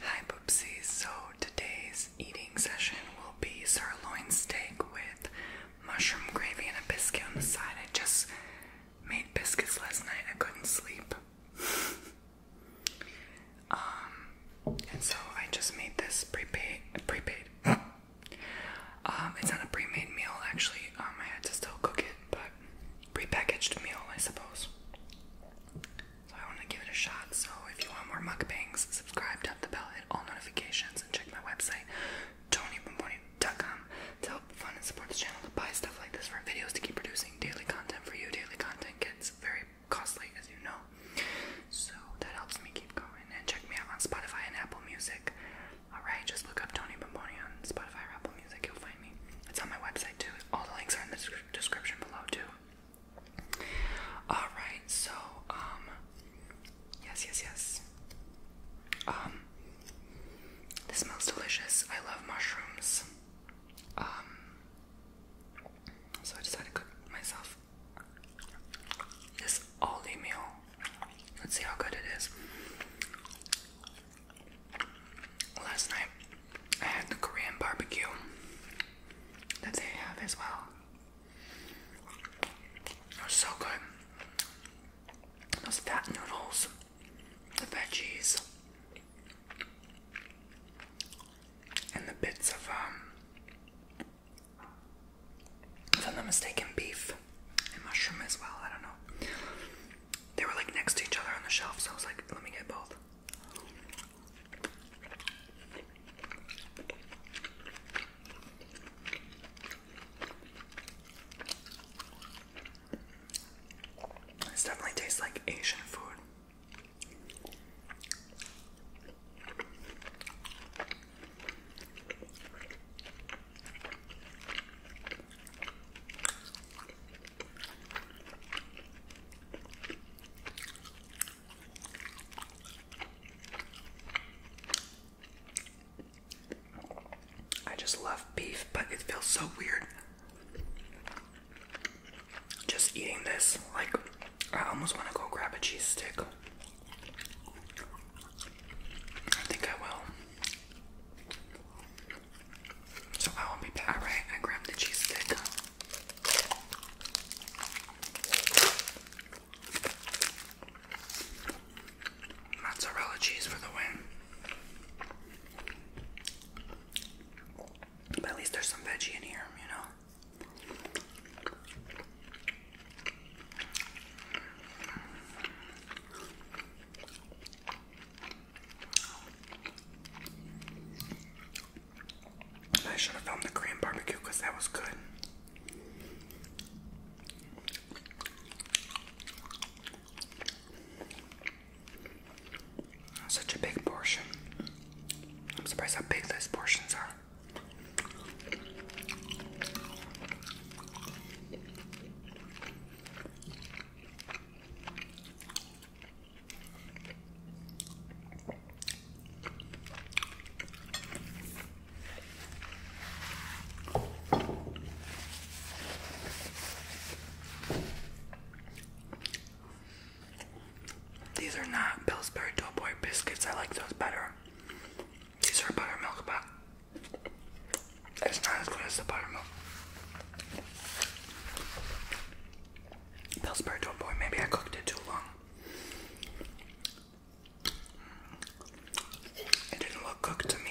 Hi Boopsies, so today's eating session will be sirloin steak with mushroom gravy and a biscuit on the side. I just made biscuits last night, I couldn't sleep. um, and so I just made this prepaid, prepaid. um, it's not a pre-made meal actually, um, I had to still cook it, but prepackaged meal, I suppose. So I want to give it a shot. So if you want more mukbangs, subscribe, tap the bell, hit all notifications, and check my website, TonyBomboni.com, to help fund and support this channel, to buy stuff like this for videos, to keep producing daily content for you. Daily content gets very costly, as you know. So that helps me keep going. And check me out on Spotify and Apple Music. Alright, just look up Tony on Spotify or Apple about music, you'll find me. It's on my website too. All the links are in the description below too. Alright, so, um, yes, yes, yes. Um, this smells delicious. I love mushrooms. Um, so I decided to cook myself this Aldi meal. Let's see how good it is. Last night I had the Korean barbecue that they have as well. It was so good. Those fat noodles, the veggies, and the bits of, um, if I'm not mistaken, beef and mushroom as well. I don't know. They were like next to each other on the shelf, so I was like, let me get both. This definitely tastes like Asian food. I just love beef, but it feels so weird just eating this. Like, I almost want to go grab a cheese stick. I think I will. So I won't be back. Alright, I grabbed the cheese stick. Mozzarella cheese for the win. But at least there's some veggie in here, you know? I should have filmed the Korean barbecue because that was good. Such a big portion. I'm surprised how big those portions are. These are not Pillsbury Doughboy biscuits. I like those better. These are buttermilk, but it's not as good as the buttermilk. Pillsbury Doughboy, maybe I cooked it too long. It didn't look cooked to me.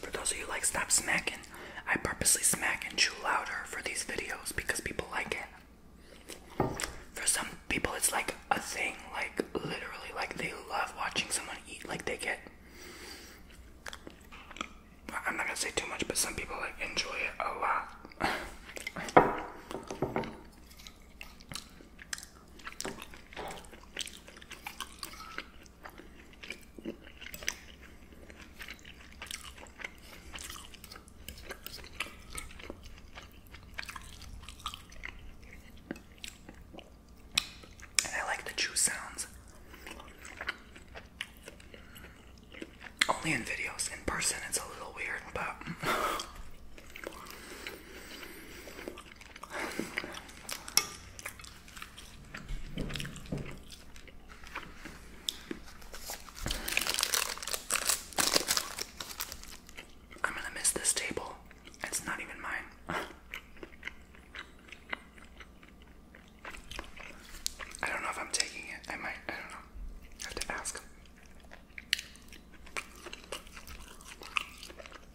For those of you like stop smacking, I purposely smack and chew louder for these videos because people like it. For some people, it's like a thing, like literally, like they love watching someone eat, like they get. I'm not gonna say too much, but some people like enjoy it a lot. I like the chew sounds. Only in videos. In person, it's a little weird, but. I'm gonna miss this table. It's not even mine. I don't know if I'm taking it. I might. I don't know. have to ask.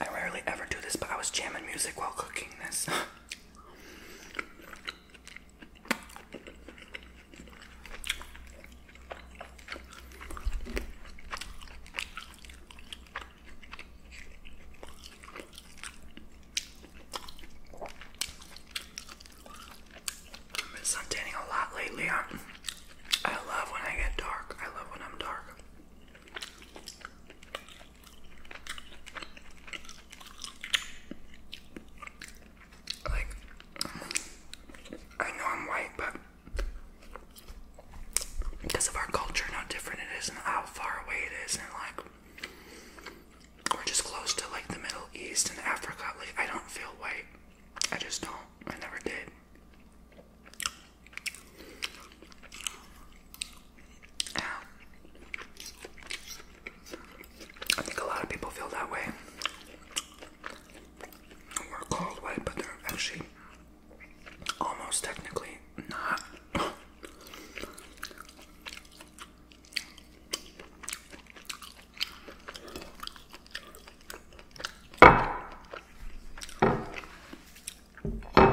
I rarely ever do this, but I was jamming music while cooking this. I've been suntanning a lot lately. i I love when I get dark. I love when I'm dark. I know I'm white, but because of our culture how different it is and how far away it is, and like, we're just close to like the Middle East and Africa. Like, I don't feel white. I just don't. I never did. I think a lot of people feel that way. We're called white, but they're actually almost technically not. Okay,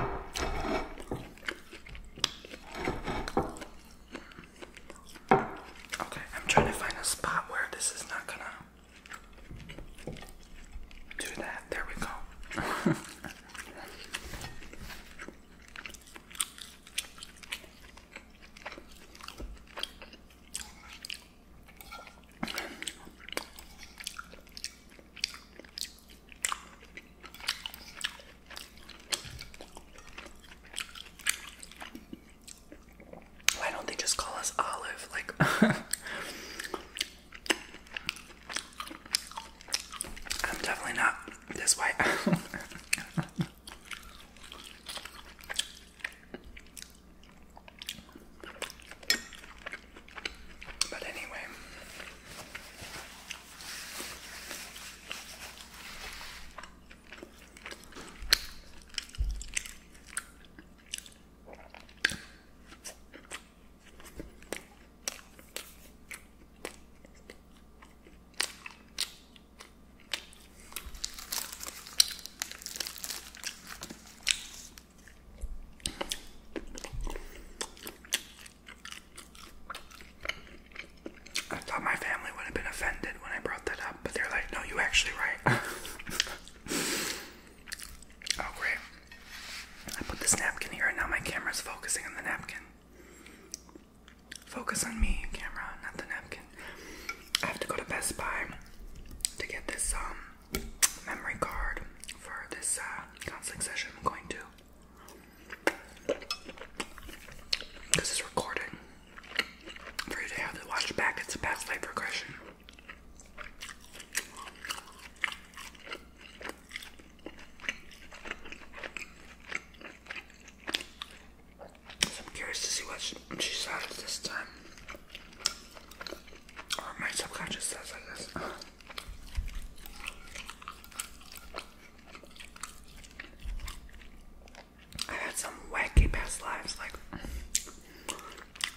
I'm trying to find a spot where this is not gonna do that. There we go. Why don't they just call us Olive? Like, I'm definitely not this white. But anyway. I thought my family would have been offended when I brought that up, but they're like, no, you actually right. oh, great. I put this napkin here, and now my camera's focusing on the napkin. Focus on me, camera, not the napkin. I have to go to Best Buy to get this, um, memory card for this uh, counseling session I'm going to. Because it's recording. For you to have to watch back, it's past life regression. I'm curious to see what she, she says this time. Or my subconscious says, i had some wacky past lives, like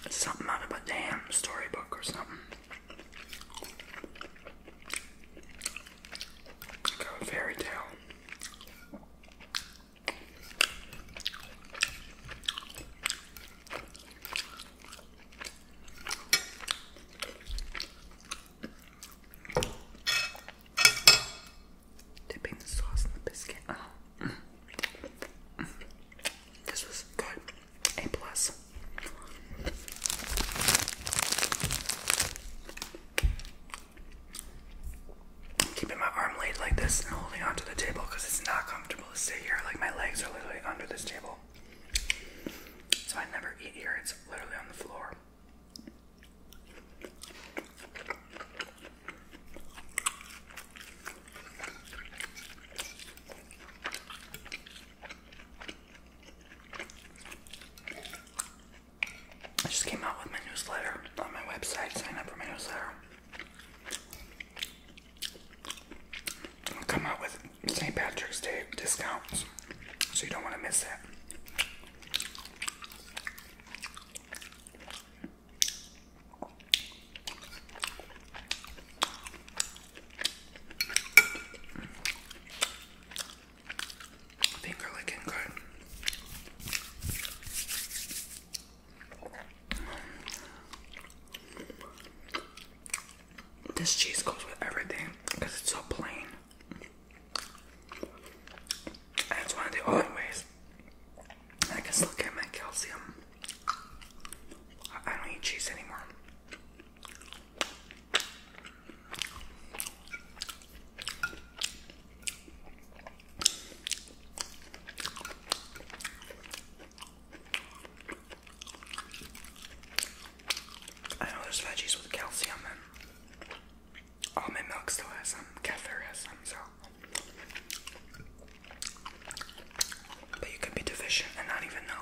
something out of a damn storybook or something. a fairy tale. Dipping the sauce in the biscuit. Oh. This was good. A plus. keeping my arm laid like this and holding onto the table because it's not comfortable to sit here. Like my legs are literally under this table. So I never eat here, it's literally on the floor. I just came out with my newsletter on my website. Sign up for my newsletter come out with St. Patrick's Day discounts, so you don't want to miss that. Finger licking good. This cheese goes with everything because it's so plain. And it's one of the only ways I can still get my calcium. I don't eat cheese anymore. I know there's veggies with calcium and almond milk still has some, kefir has some, so. But you could be deficient and not even know.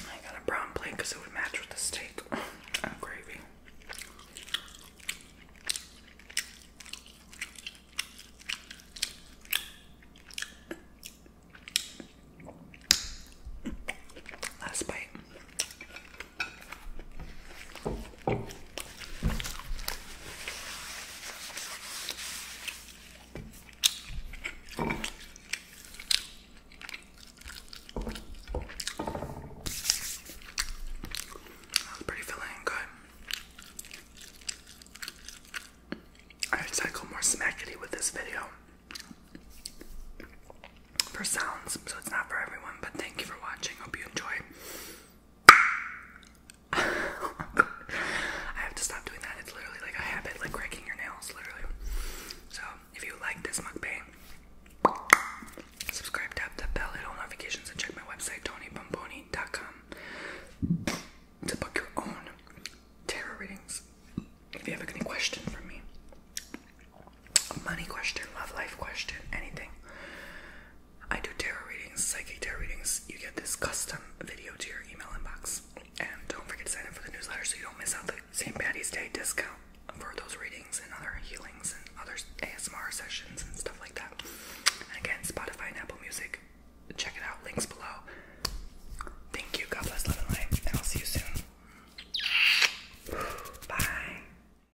I got a brown plate it would match with the steak and gravy. Last bite. That's pretty filling and good. I wish more smackety with this video for sounds, so it's not for everyone, but thank you for watching. Hope you enjoy. I have to stop doing that. It's literally like a habit, like cracking your nails, literally. So, if you like this mukbang, subscribe, tap the bell, hit all notifications, and check my website, tonybomboni.com, to book your own tarot readings. If you have any questions for me, money question, love life question, anything. I do tarot readings, psychic tarot readings. You get this custom video to your email inbox. And don't forget to sign up for the newsletter so you don't miss out the St. Patty's Day discount for those readings and other healings and other ASMR sessions and stuff like that. And again, Spotify and Apple Music. Check it out. Links below. Thank you. God bless, love, and light. And I'll see you soon. Bye.